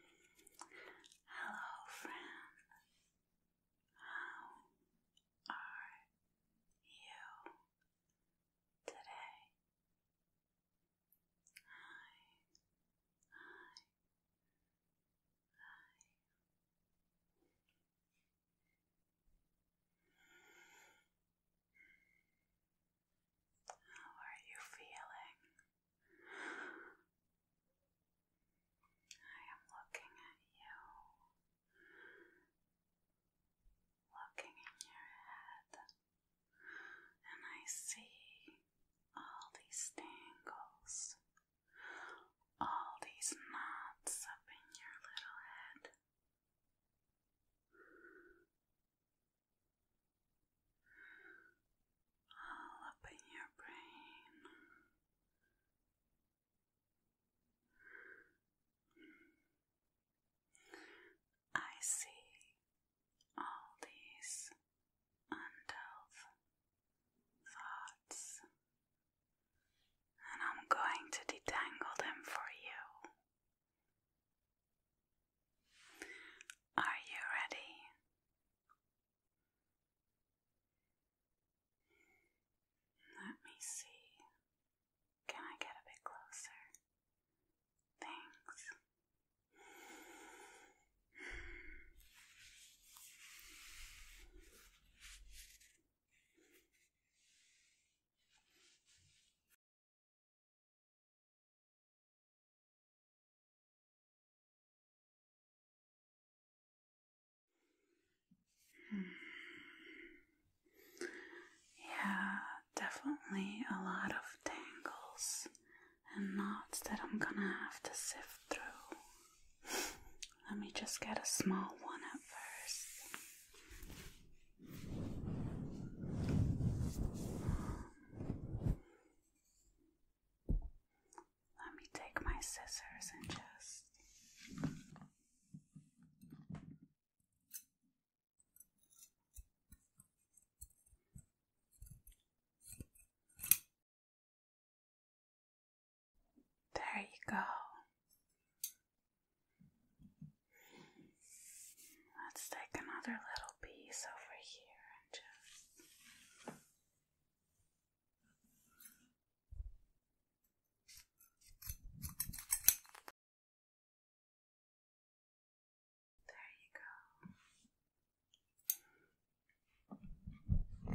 Hello, friend. How are you today? Hi, hi, hi. How are you feeling? I am looking at you, looking in your head, and I see all these tangles, all these knots up in your little head all up in your brain. I see all these undealt thoughts, and I'm going to detangle them for you. Are you ready? Let me see. Can I get a bit closer? Thanks. Yeah, definitely a lot of tangles and knots that I'm gonna have to sift through. Let me just get a small one at first. Let me take my scissors and just. There you go. Let's take another little piece over here There you go.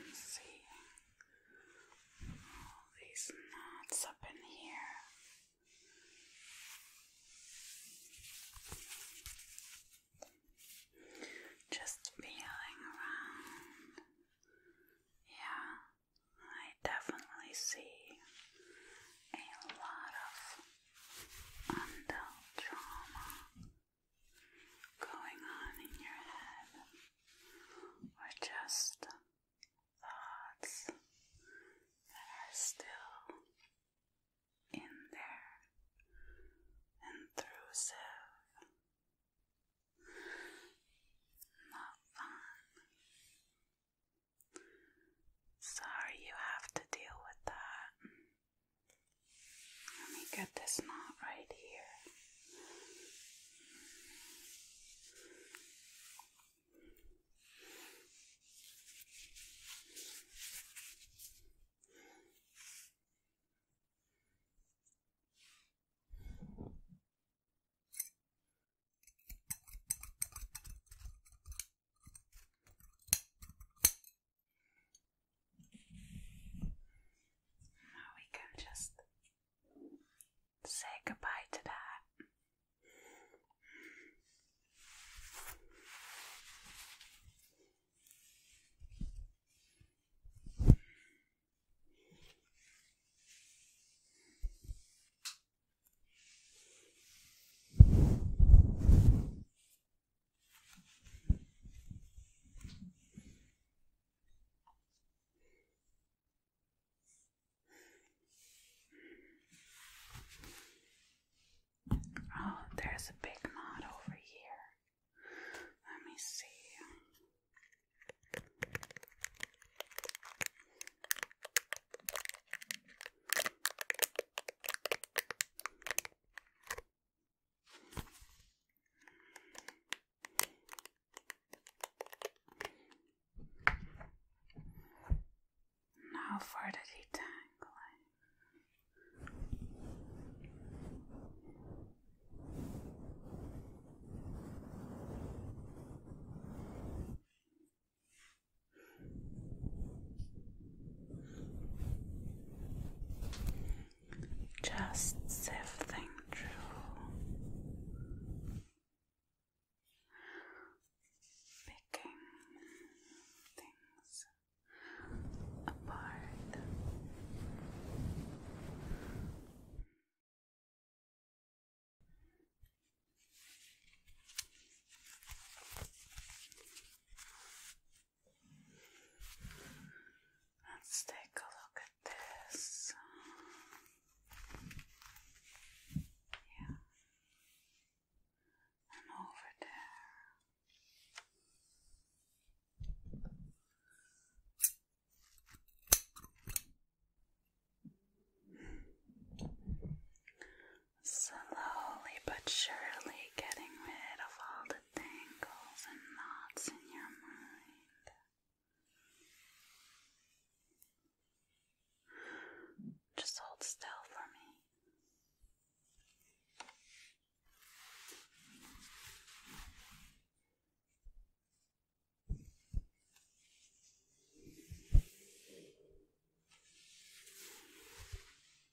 Let's see all these knots up in here. Just feeling around. Yeah, I definitely see a lot of undealt trauma going on in your head, or just thoughts that are still in there intrusive. Not fun. Sorry you have to deal with that. Let me get this knot right here. Now oh, we can just say goodbye to that. Oh, there's a big knot over here. Let me see. Now for the detangling. Just sifting through, picking things apart. Let's take a look at this. Yeah. And over there. Slowly but surely getting rid of all the tangles and knots in your mind. Just hold still for me.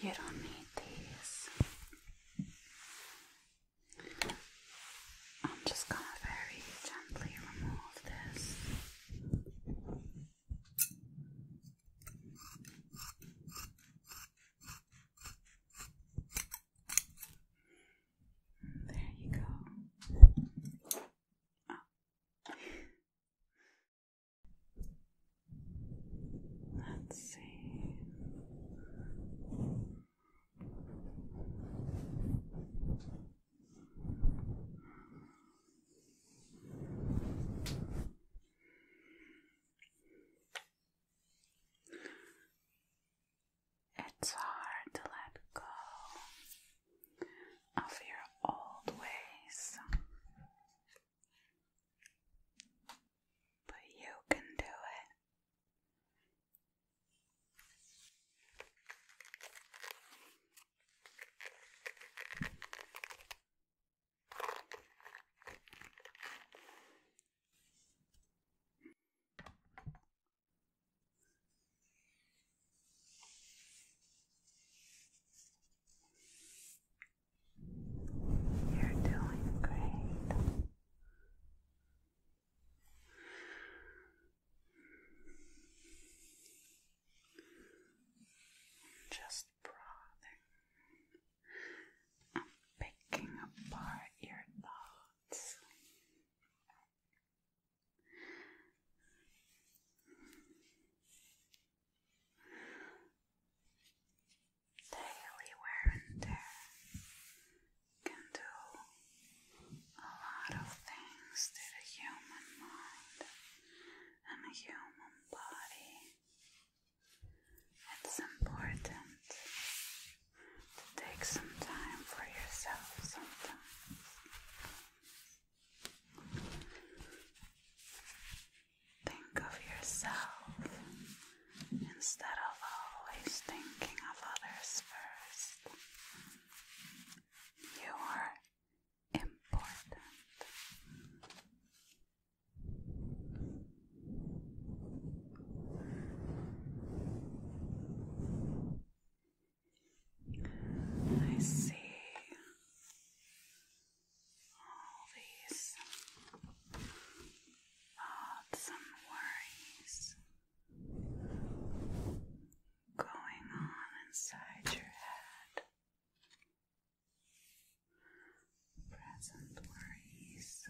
You don't need these. I'm just going to very gently remove this. There you go. Let's see. It's hard to let go of your old ways. But you can do it. You're doing great. Just broadening. I'm picking apart your thoughts. Daily wear and tear can do a lot of things to the human mind and the human body. It's important to take some time for yourself sometimes Think of yourself instead of always thinking of others first. You are important. I see all these thoughts and worries going on inside your head. Present worries.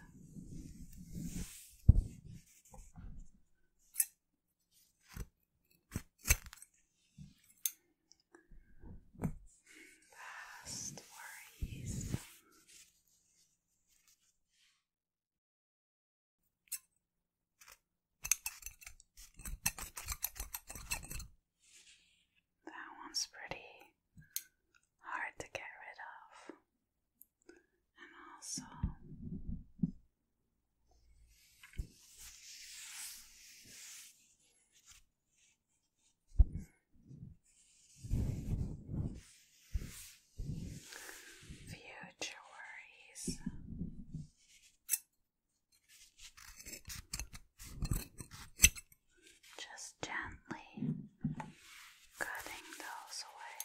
Past worries. That one's pretty hard to get rid of, and also Future worries. Just gently cutting those away.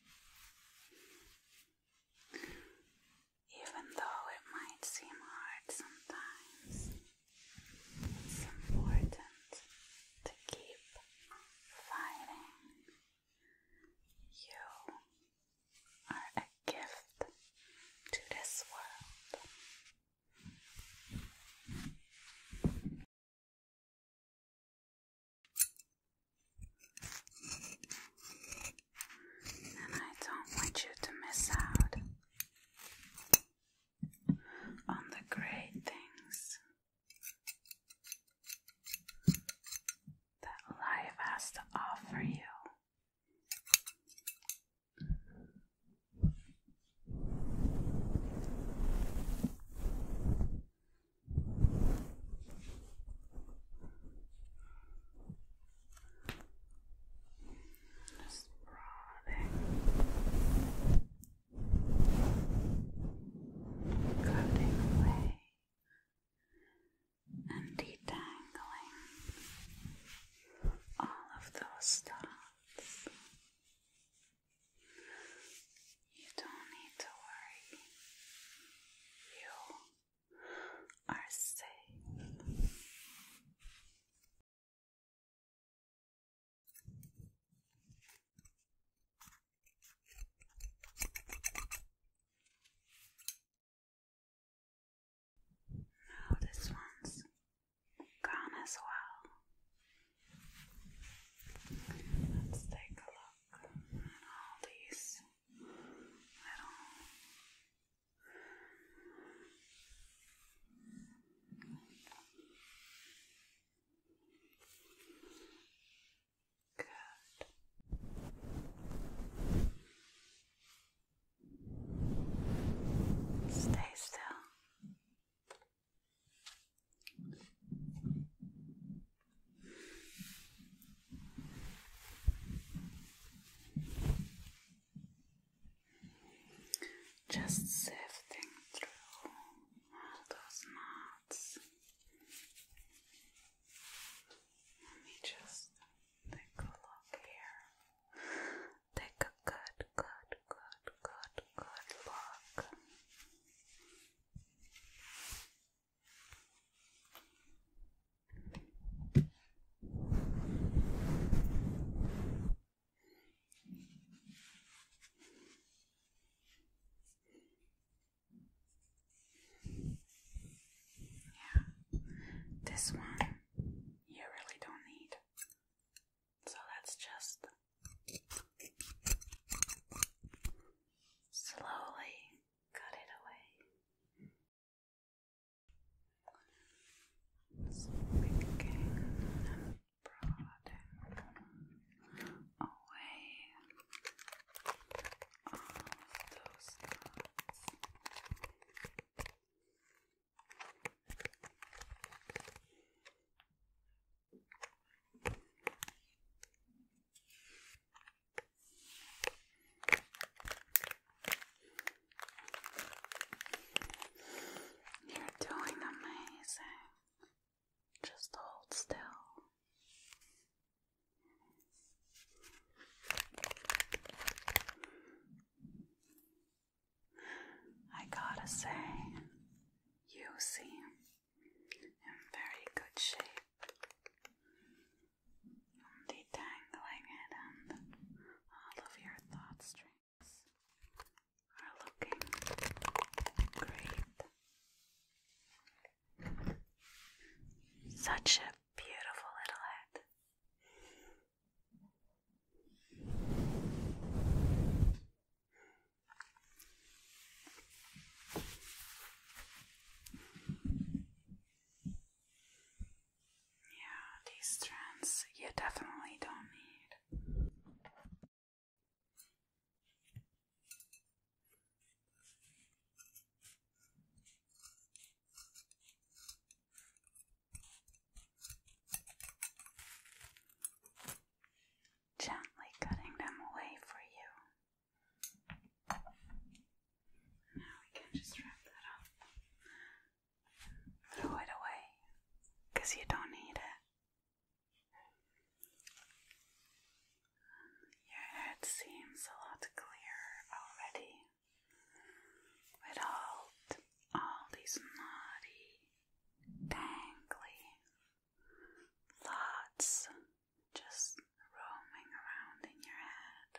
Even though it might seem hard sometimes, it's important to keep fighting. You are a gift to this world. And I don't want you to miss out on the great things that life has to offer you. Just broadening, cutting away, and detangling all of those thoughts. You don't need to worry. You are safe. Now this one's gone as well. Let's take a look all these little Good. Stay still. Just sifting through all those knots. Let me just take a look here. Take a good, good, good, good, good look. Yeah, this one you really don't need, so let just slowly cut it away. So and prodding away all those knots. You're doing amazing. Just hold still. I gotta say, you seem in very good shape. Detangling it, and all of your thought strings are looking great. Such a beautiful little head. Yeah, these strands you definitely don't need. Gently cutting them away for you. Now we can just wrap that up. Throw it away, you don't need it. Your head seems a lot clearer already with all, these naughty, dangly thoughts just roaming around in your head.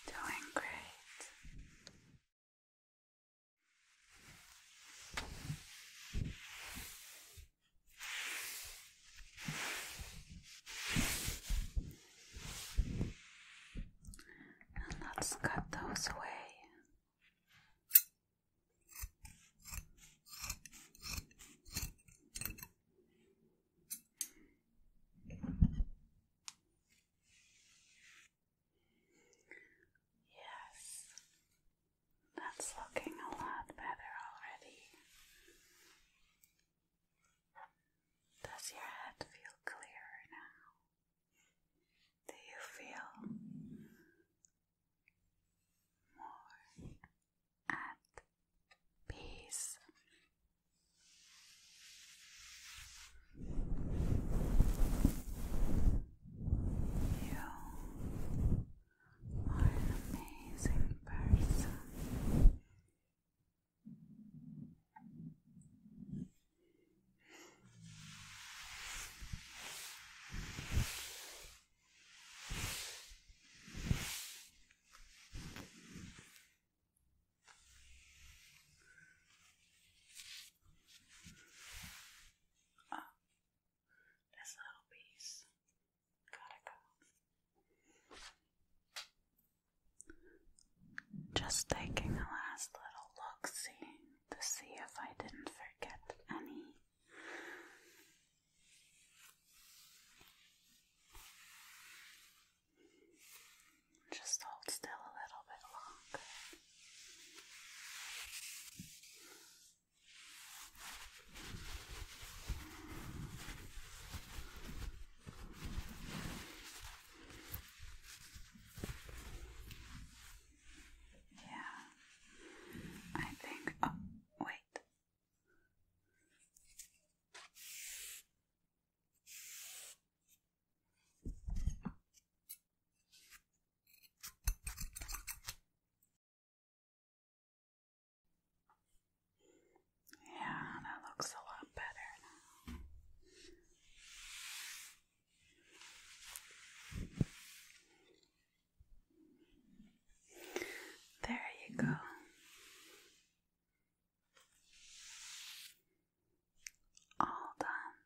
Doing great. And let's cut those away. Yes, that's looking a lot better already. Does your head feel clearer now? Do you feel more at peace. You are an amazing person this little piece gotta go. Just taking a last little look, see to see if I didn't forget any just hold still a little bit longer. Yeah, I think. Oh, wait, yeah, that looks a lot better there you go. All done.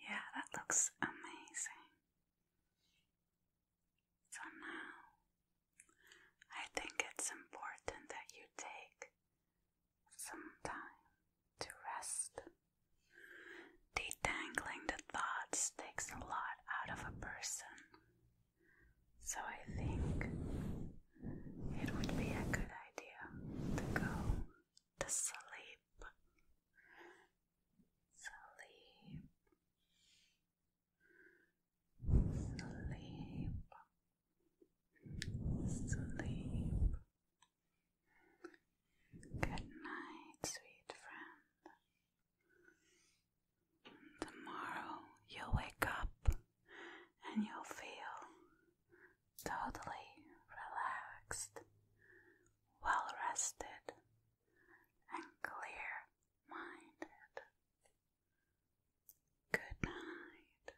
Yeah, that looks amazing. So now I think it's important that you take some time to rest. Detangling the thoughts takes a lot out of a person, so I think it would be a good idea to go to sleep. Sleep. Sleep. Sleep. Good night, sweet friend. Tomorrow you'll wake up and you'll feel totally relaxed, well rested, and clear minded. Good night.